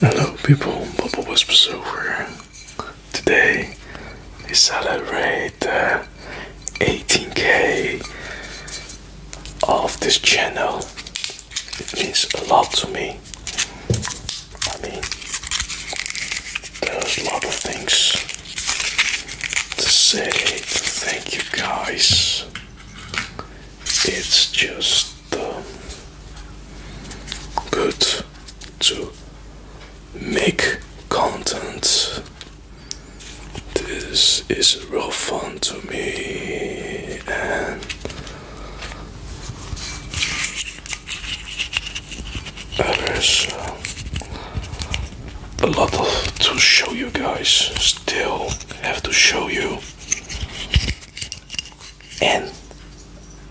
Hello people, Bubble Whispers over. Today we celebrate uh, 18k of this channel. It means a lot to me. I mean, there's a lot of things to say. Thank you guys. It's just good to make content. This is real fun to me and there's a lot of to show you guys still have to show you and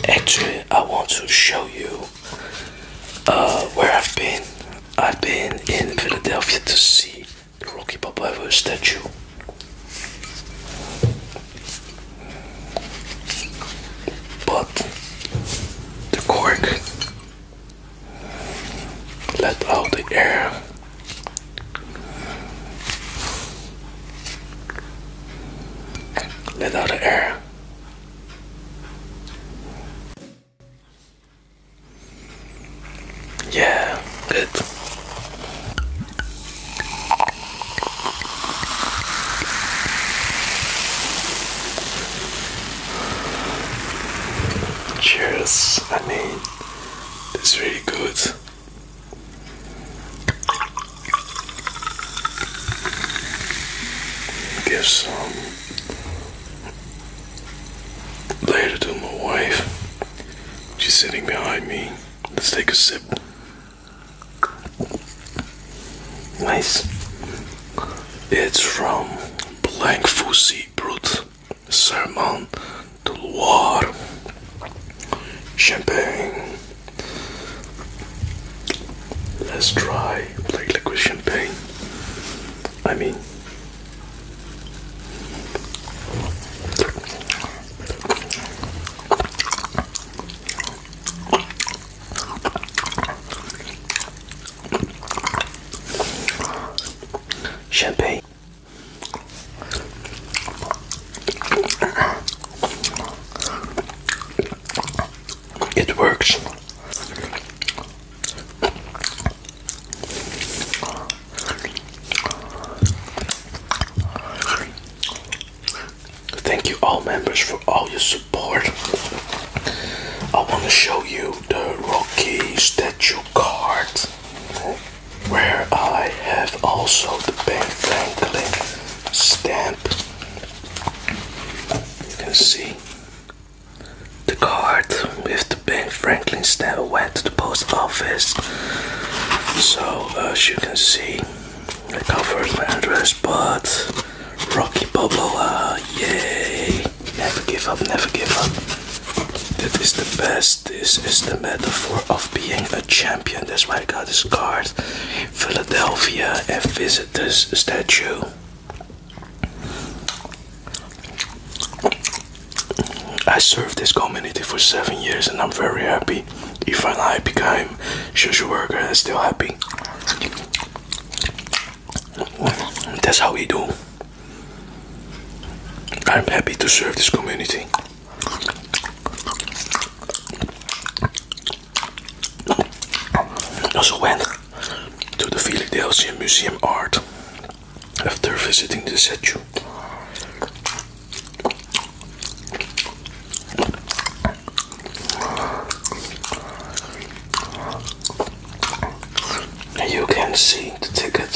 actually I want to show you uh, where I've been. I've been in Philadelphia to see the Rocky Balboa statue. But the cork let out the air let out the air. Yeah, good. Cheers, I mean, that's really good. Give some later to my wife. She's sitting behind me. Let's take a sip. Nice. It's from Blank Fusi Brut Sermon de Loire, Champagne. Let's try black liquid champagne. I mean, champagne. It works. Thank you all members for all your support. I want to show you the Rocky statue card where I have also the Ben Franklin stamp. You can see the card with the Ben Franklin stamp went to the post office. So as you can see, I covered my address, but Rocky Balboa, yay! Never give up, never give up. That is the best this is the metaphor of being a champion. That's why I got this card. Philadelphia and visit this statue. I served this community for seven years and I'm very happy. Even I became social worker and still happy. That's how we do. I'm happy to serve this community. Also went to the Philadelphia Museum of Art after visiting the statue. you can see the ticket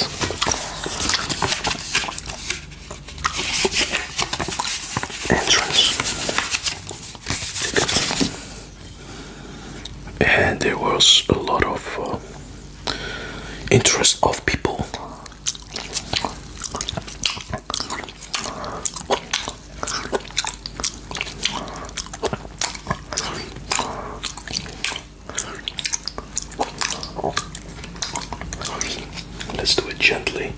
entrance. And there was a lot of uh, interest of people. Let's do it gently.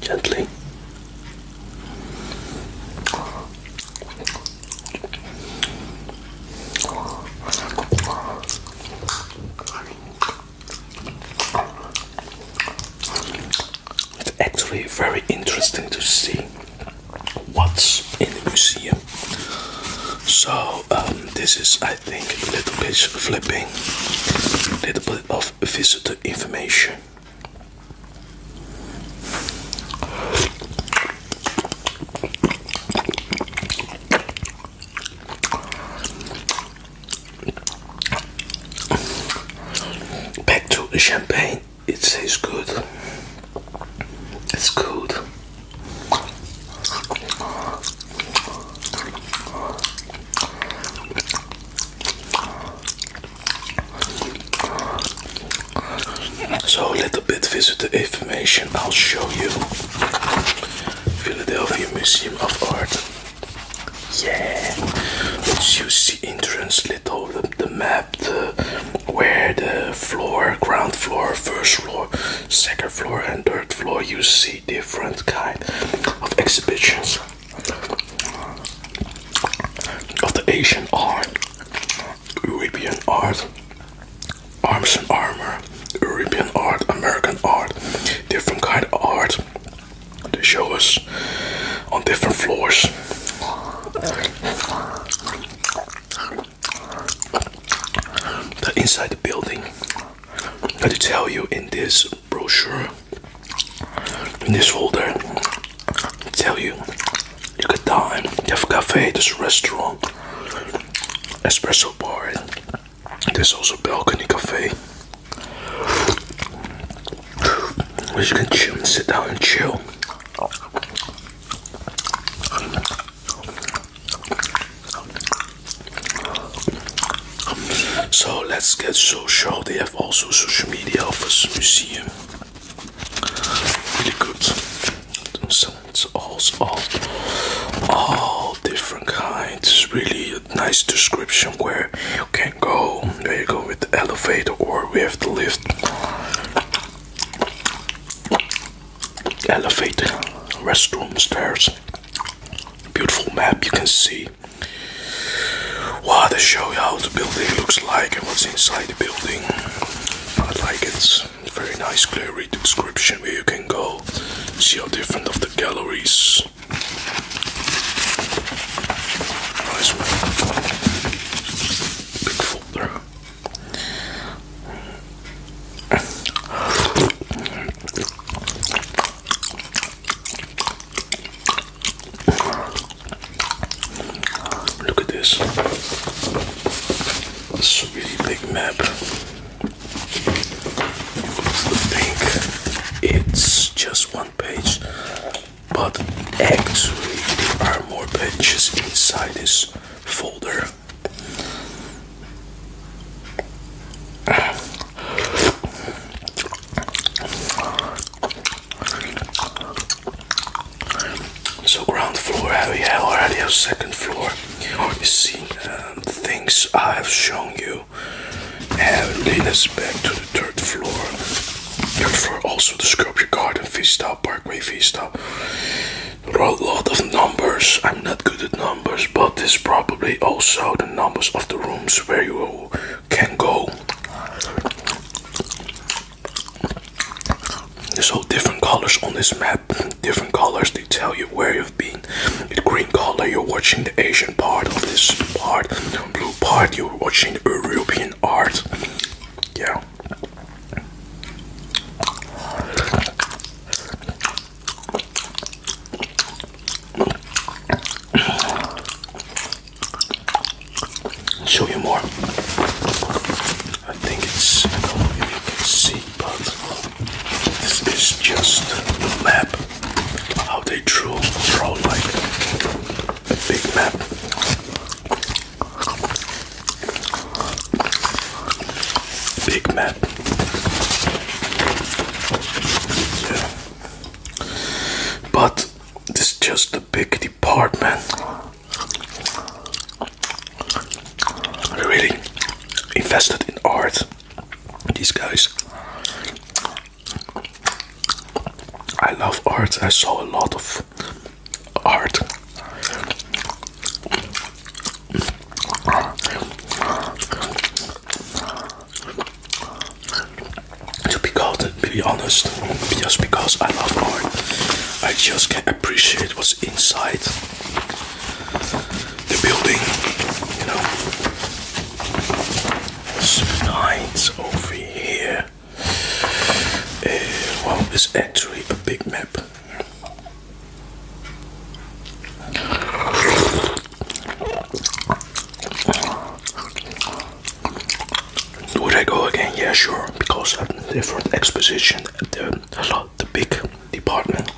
Gently. It's actually very interesting to see what's in the museum. So um, this is, I think, a little bit flipping, a little bit of visitor information. Back to the champagne. It tastes good. It's good. So a little bit visit the information I'll show you. Philadelphia Museum of Art. Yeah, let's use the entrance little the, map, the where the floor, ground floor, first floor, second floor, and third floor. You see different kind of exhibitions of the Asian art, European art, arms and armor, European art, American art, different kind of art. They show us on different floors. That inside the building. I to tell you in this brochure, in this folder, I tell you you could dine. You have cafe, this restaurant, espresso bar. There's also balcony cafe, where you can chill and sit down and chill. So let's get social. They have also social media of this museum. Really good. So it's all, all, all different kinds. Really nice description where you can go there you go with the elevator or we have the lift elevator restroom stairs beautiful map you can see wow they show you how the building looks like and what's inside the building i like it it's very nice clear description where you can go see how different of the galleries Big folder. Look at this. It's a really big map. It's the pink. It's just one page, but actually there are more pages inside this folder. So ground floor, we already have second floor. You see um, things I have shown you and lead us back to the third floor. Third floor, also the sculpture garden, Vista, Parkway Vista. There are a lot of numbers. I'm not good at numbers, but this probably also the numbers of the rooms where you can go. There's all different colors on this map. Different colors, they tell you where you have green color you're watching the Asian part of this part blue part you're watching the European art yeah show you more. I think it's but this is just a map how they drew draw like a big map big map yeah. but this is just a big department really invested in art these guys. I love art. I saw a lot of art. To be, honest, just because I love art, I just can appreciate what's inside the building, you know. Slides over here. Uh, well, it's actually a big map. Would I go again? Yeah, sure. Because I'm different exposition at the the big department.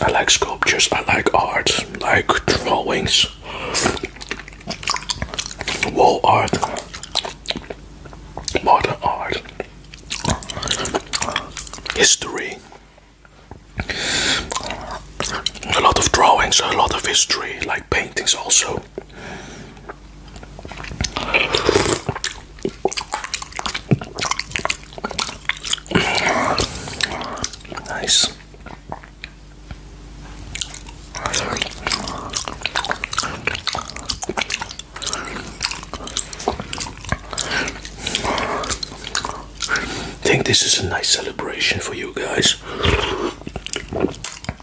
I like sculptures, I like art, like drawings, wall art, modern art, history. A lot of drawings, a lot of history, like paintings also. Nice. I think this is a nice celebration for you guys.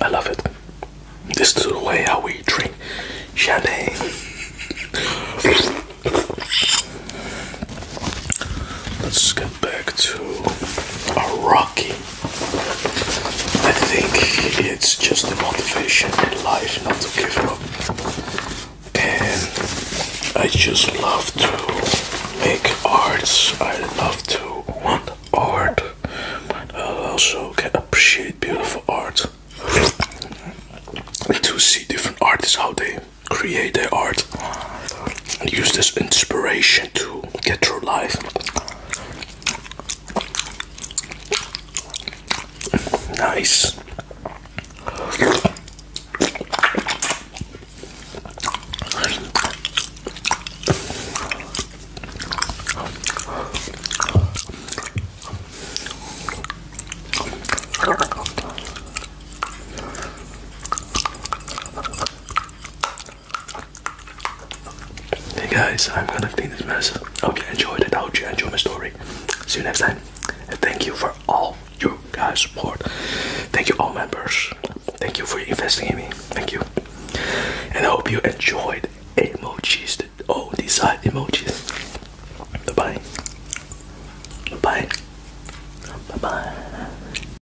I love it. This is the way how we drink champagne. Let's get back to our rocky I think it's just the motivation in life not to give up. And I just love to make arts. I love to want art. I also can appreciate beautiful art. to see different artists how they create their art and use this inspiration to get through life. Nice. Hey guys, I'm gonna clean this mess. I hope you enjoyed it. I hope you enjoyed my story. See you next time. thank you for all your guys' support. Thank you, all members. Thank you for investing in me. Thank you. And I hope you enjoyed emojis. Oh, these side emojis. Bye bye. Bye bye.